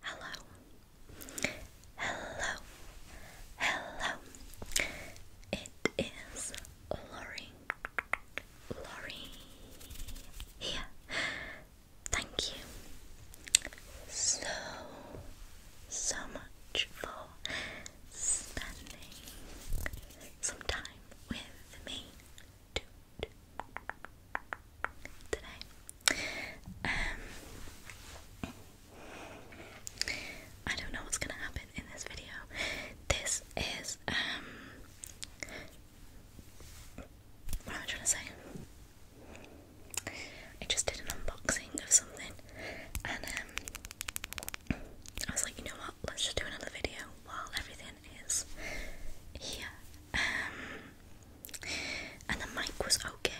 Hello. Hello. Hello. It is Lori. Lori here. Thank you so so much for spending some time with me today. Um, I don't know what's gonna happen in this video. This is um, what am I trying to say? I just did an unboxing of something, and um, I was like, you know what? Let's just do another video while everything is here um, and the mic was okay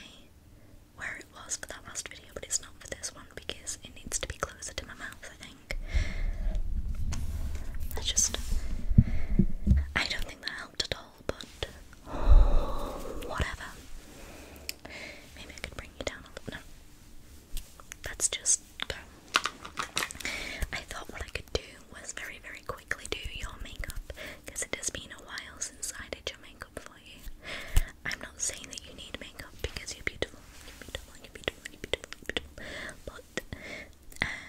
where it was for that last video, but it's not for this one because it needs to be closer to my mouth, I think. I just. I don't think that helped at all, but. whatever. Maybe I could bring you down a little. No. Let's just go. I thought what I could do was very, very quickly do your makeup because it has been a while since I did your makeup for you. I'm not saying that you need makeup because you're beautiful, you're beautiful, you're beautiful, you're beautiful, you're beautiful, but um,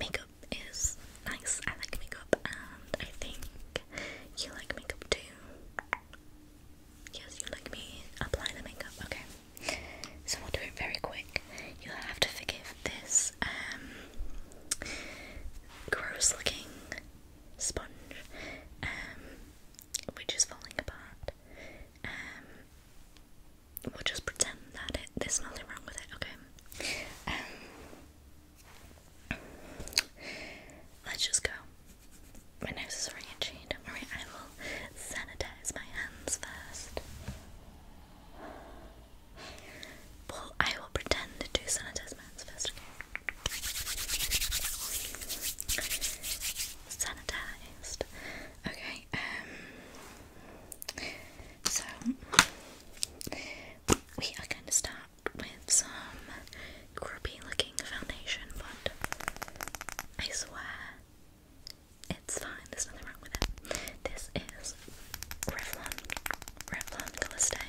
makeup is nice. I like makeup, and I think you like makeup too. Yes, you like me. Apply the makeup, okay. So we'll do it very quick. You'll have to forgive this um gross looking sponge um, which is falling apart. Um, we'll just pretend that there's nothing wrong with it, okay? Um, let's just go. My nose is already don't worry, I will sanitize my hands first. Well, I will pretend to do sanitize first, Sanitized. Okay, um, so we are going to start with some grubby looking foundation, but I swear it's fine, there's nothing wrong with it. This is Revlon, Revlon Calistay,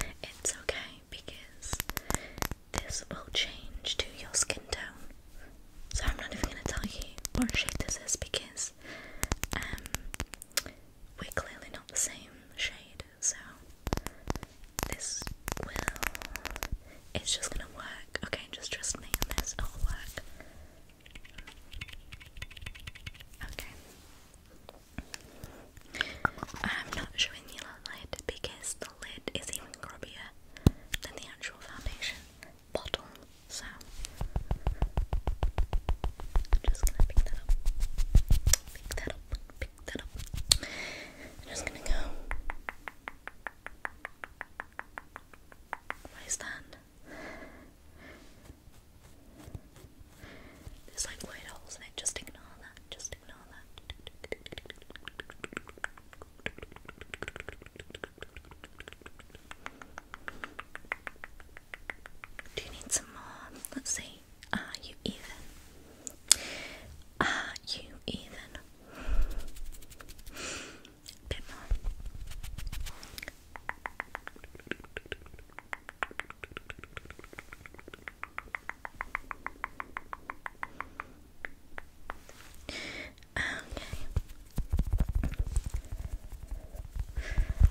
and it's okay because this will change to your skin tone. So I'm not even gonna tell you what shade this is because um, we're clearly not the same shade. So this will, it's just gonna work. Okay, just trust me on this. It'll work. Okay. I'm not showing you the lid because the lid is even grubbier than the actual foundation bottle, so just gonna pick that up. Pick that up, pick that up. just gonna go. What is that? There's like white holes in it, just ignore that, just ignore that. Do you need some more? Let's see. Are you even? Are you even? a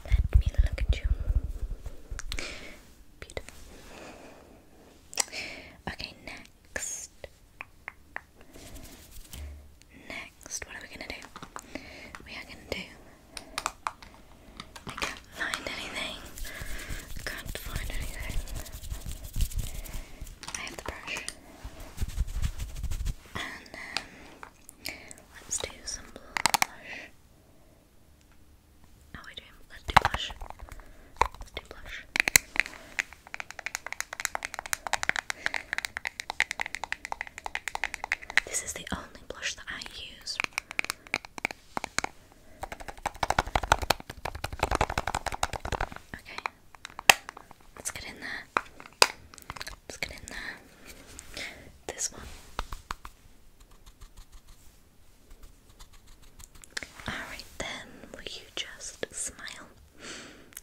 Let me look at you. Beautiful. Okay, next next, what are we gonna do? We are gonna do. I can't find anything. Can't find anything. I have the brush. And um, let's do some blush. How are we doing? Let's do blush. Let's do blush. This is the only blush that I use. Okay, let's get in there. Let's get in there. This one. Alright, then, will you just smile?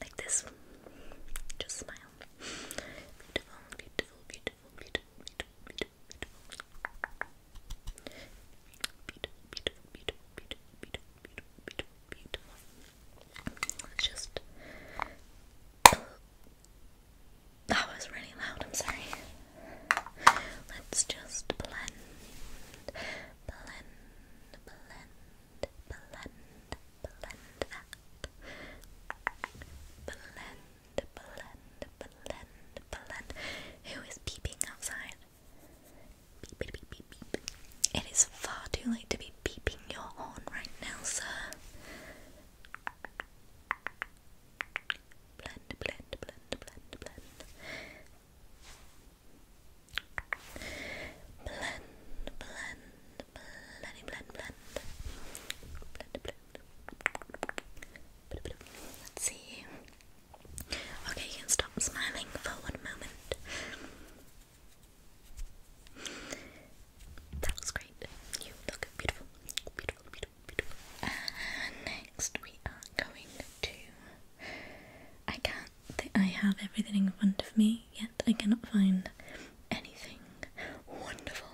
Like this. Just smile. Beautiful, beautiful, beautiful. Beautiful, beautiful, beautiful, beautiful, beautiful, beautiful, beautiful, beautiful. Let's just. That was really loud, I'm sorry. Let's just blend, blend, blend, blend, blend Blend, blend, Who is peeping outside? Beep, beep, beep, beep, beep. It is far too late to be beeping your horn right now, sir. Blend, blend, blend, blend, blend. Blend, blend, blend, blend, blend. Blend, blend. Let's see. Okay, can stop smiling for one moment. That was great. You look beautiful. Beautiful, beautiful, beautiful. next we are going to I can I have everything in front of me. I cannot find anything wonderful.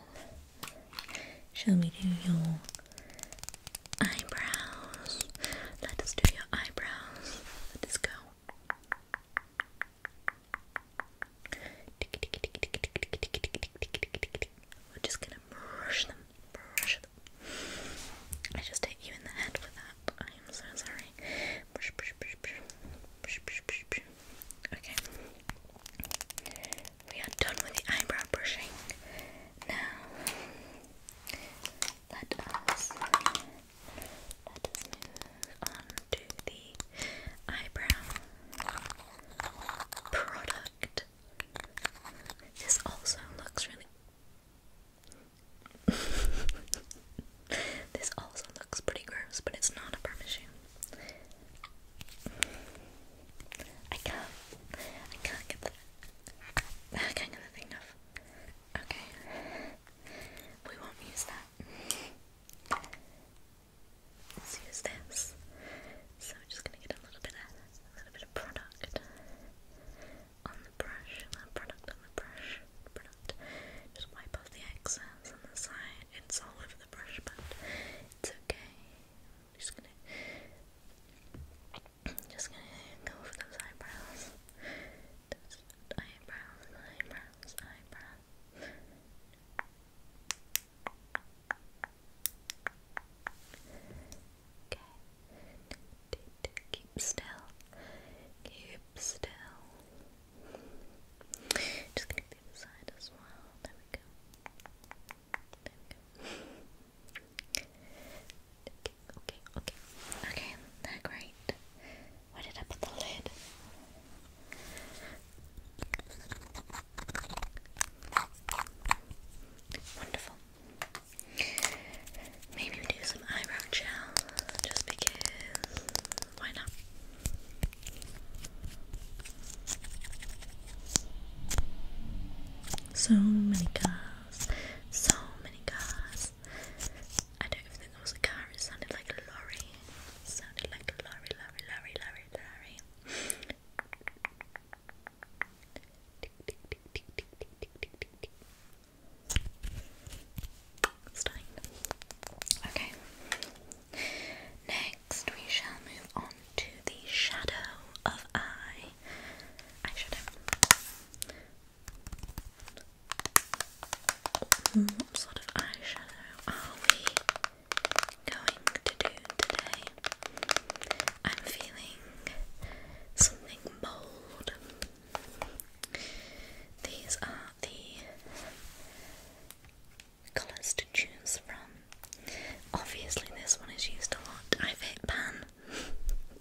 Shall we do your eyebrows? Let us do your eyebrows. Let us go. We're just gonna brush them, I just hit you in the head with that. I am so sorry. Okay. We are done with the eyebrow brushing. Now let us let us move on to the eyebrow product. This also looks really This also looks pretty gross, but it's not a permission. I can't. I can't get the. I can't get the thing off. Okay. We won't use that. Let's use this. So I'm just gonna get a little bit of a little bit of product on the brush. Product on the brush. Product. Just wipe off the excess on the side. It's all over the brush, but it's okay. I'm just gonna, I'm just gonna go for those eyebrows. Those eyebrows, eyebrows, eyebrows. Okay. Keep still. Keep still. Just gonna the other side as well. There we go. There we go. okay, okay, okay. Okay, they great. Where did I put the lid? Wonderful. Maybe do some eyebrow gel, just because. Why not? So many cars, so many cars. I don't think there was a car, it sounded like a lorry. sounded like a lorry, lorry, lorry, lorry, lorry. Okay. Next, we shall move on to the shadow of eye eyeshadow. What sort of eyeshadow are we going to do today? I'm feeling something bold. These are the colours to choose from. Obviously, this one is used a lot. I've hit pan.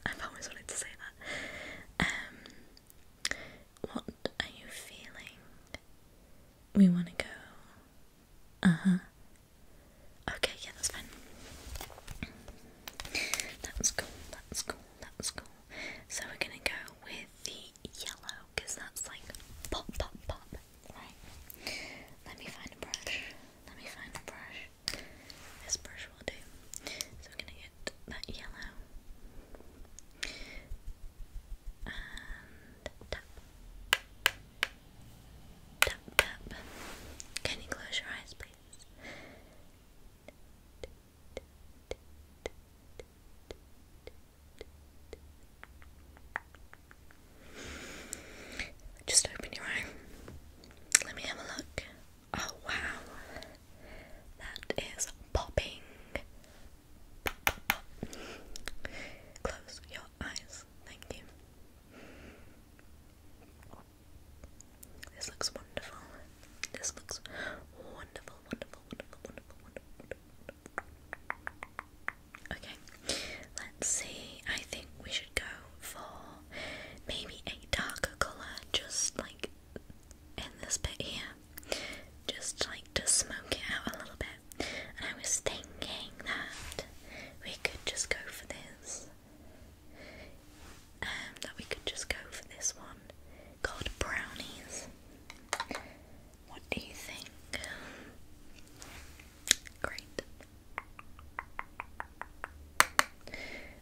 I've always wanted to say that. Um, what are you feeling? We want to go. Uh huh. Okay, yeah, that's fine. That's cool, that's cool, that's cool. So we're gonna go with the yellow because that's like pop, pop, pop, right? Let me find a brush. Let me find a brush. This brush will do. So I'm gonna get that yellow Can you close your eyes, please? Just open your eye. Let me have a look. Oh wow, that is popping. Close your eyes. Thank you. This looks wonderful. This looks wonderful, wonderful, wonderful, wonderful, wonderful, Okay, let's see. I think we should go for maybe a darker colour, just like in this bit here, just like to smoke it out a little bit. And I was thinking that we could just go for this. Um, that we could just go for this one called brownies. What do you think? Great.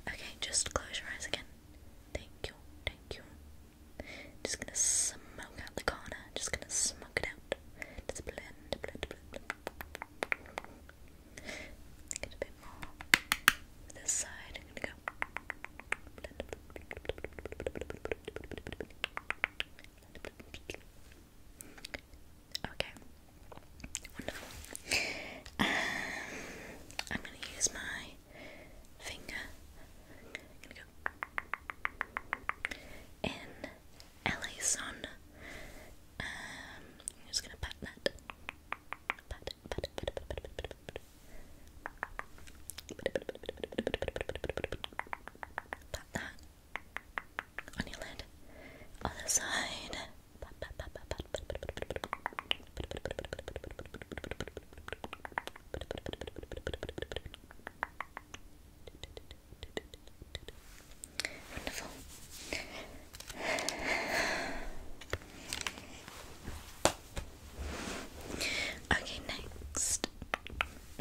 Okay, just close your eyes again. Thank you, thank you. Just gonna smoke out the corner. Just gonna smoke it out. Just blend, blend, blend. a bit more. This side, I'm gonna go. Okay. Wonderful. Um, I'm going to use my finger. I'm going to go in LA Sun. Um, I'm just going to pat that. Pop that on your lid. Other side. Wonderful. Okay, next.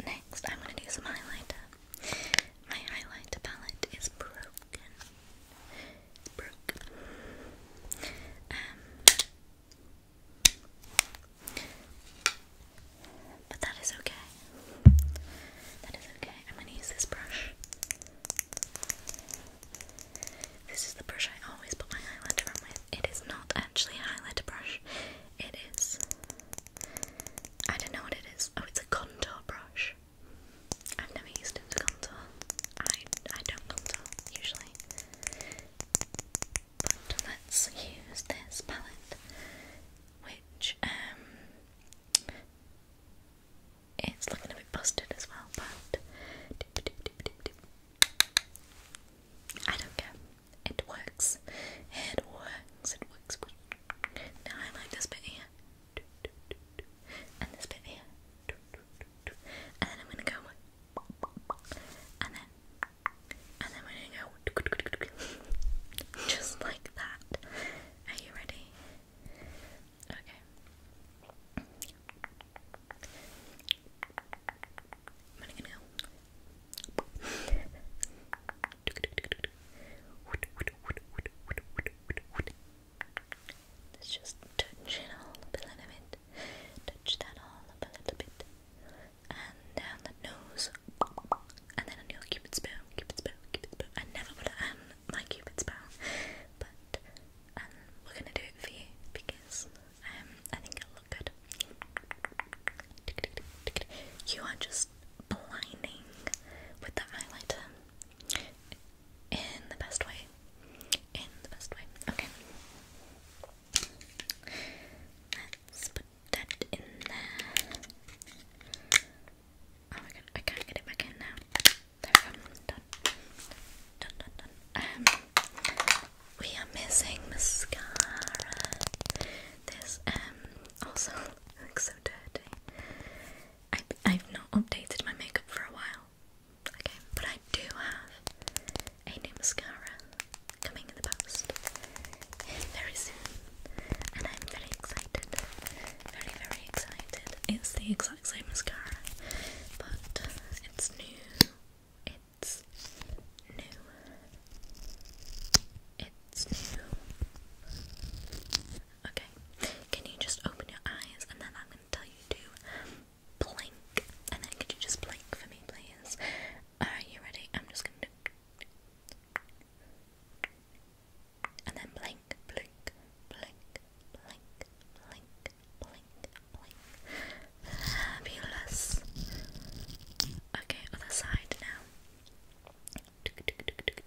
Next, I'm going to do some highlighter. My highlighter palette is broken. It's um, but that is okay. That is okay. I'm going to use this brush. This is the brush I always put my highlighter on with. It is not actually a highlighter brush. It is. I don't know what it is. Oh, it's a contour brush. I've never used it to contour. I I don't contour usually. But let's use this palette, which um, it's looking a bit busted as well, but I don't care. It works. It works. It works. Now I like this bit here. And this bit here. And then I'm gonna go and then and then we're gonna go just like that. Are you ready? Okay i Let's just touch it all a little bit. Touch that all a little bit. And the nose. And then on your cupid's bow, cupid's bow, cupid's bow. I never put it on my cupid's bow. But um, we're gonna do it for you because um, I think it'll look good. You are just blinding with the highlighter in the best way. In the best way. Okay. Let's put that in there. Oh my god, I can't get it back in now. There we go. Done. Done, done, done. Um, we are missing mascara. This um also looks so dirty. I I've not updated my makeup for a while. Okay, but I do have a new mascara coming in the post very soon, and I'm very excited. Very very excited. It's the exact same mascara, but it's new. It's new. It's new. Okay. Can you just open your eyes and then I'm going to tell you to blink. And then could you just blink for me, please? Alright, you ready? I'm just going to. And then blink, blink, blink, blink, blink, blink, blink. Fabulous. Okay, other side now. Okay, and blink, blink, blink,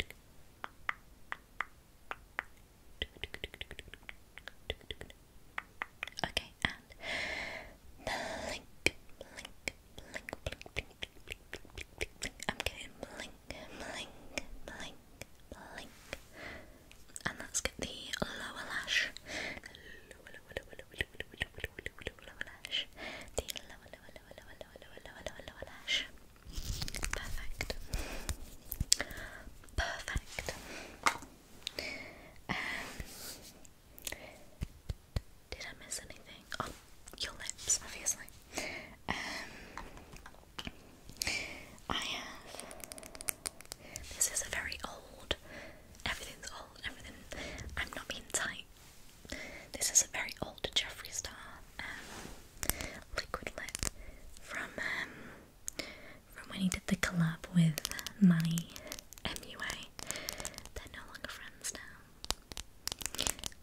blink, blink, blink, blink, blink. I'm getting blink, blink, blink, blink. And let's get the lower lash. Perfect. Perfect. Um, did I miss anything? Oh, your lips, obviously. Um, I have. This is a very old Everything's old, everything. I'm not being tight. This is a very old Jeffree Star um, liquid lip from um, from when he did the collab with Manny MUA. They're no longer friends now.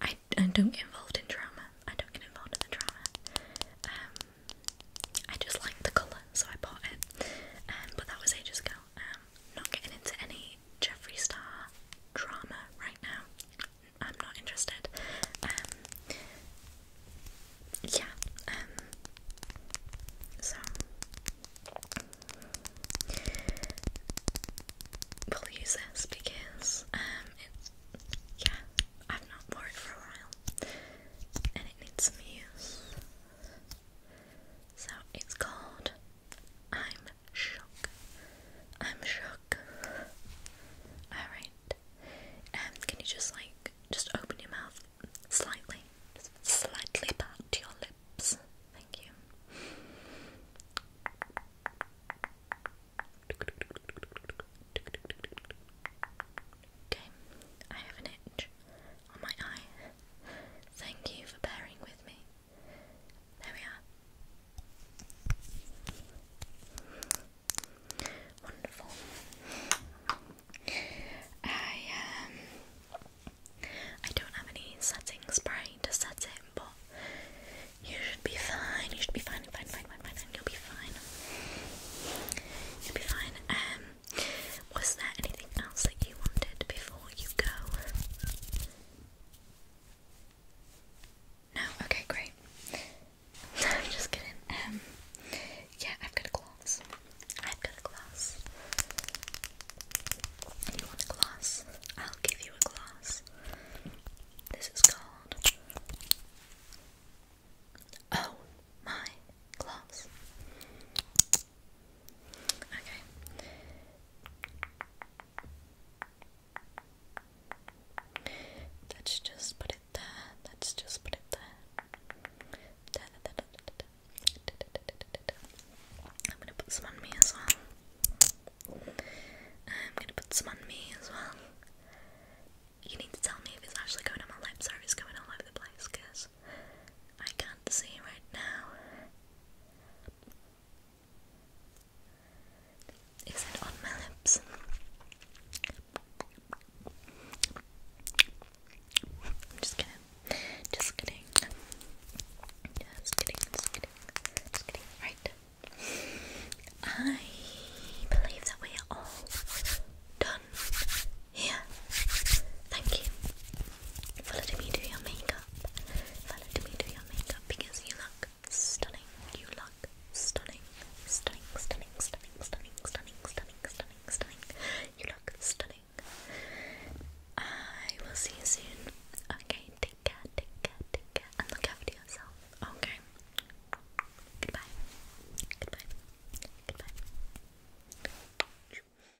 I, I don't get involved in drama. I don't get involved in the drama. Um, I just like the colour, so I bought it. Um, but that was ages ago. Um, not getting into any Jeffree Star drama right now. I'm not interested. Um, yeah. Um, so, we'll use this because um, it's yeah. I've not wore it for a while, and it needs some use. So it's called I'm shook. I'm shook. Alright. Um, can you just like just open your mouth slightly? slightly back your lips. Thank you. Okay, I have an itch on my eye. Thank you for bearing with there we are. Wonderful. I um I don't have any setting spray to set it, but you should be fine. You should be fine, fine, fine, fine, fine. You'll be fine. You'll be fine. Um was there anything else that you wanted before you go? No? Okay, great. just kidding. Um, yeah, I've got a glass. I've got a glass. You want a glass? I'll give you a glass. This is called. Oh my glass. Okay. Let's just put it there. Let's just put it there. I'm gonna put some on me as well. I'm gonna put some on me as well. You need to tell me if it's actually going on my lips or it's going all over the place, because I can't see right now. Is it on my lips? Just kidding. Just kidding. Just kidding. Just kidding. Right. I believe that we are all done here. Thank you. Follow me do your makeup. Follow me do your makeup because you look stunning. You look stunning. Stunning, stunning, stunning, stunning, stunning, stunning, stunning, You look stunning. I will see you soon. Okay, take care, take care, take care. And look after yourself. Okay. Goodbye. Goodbye. Goodbye.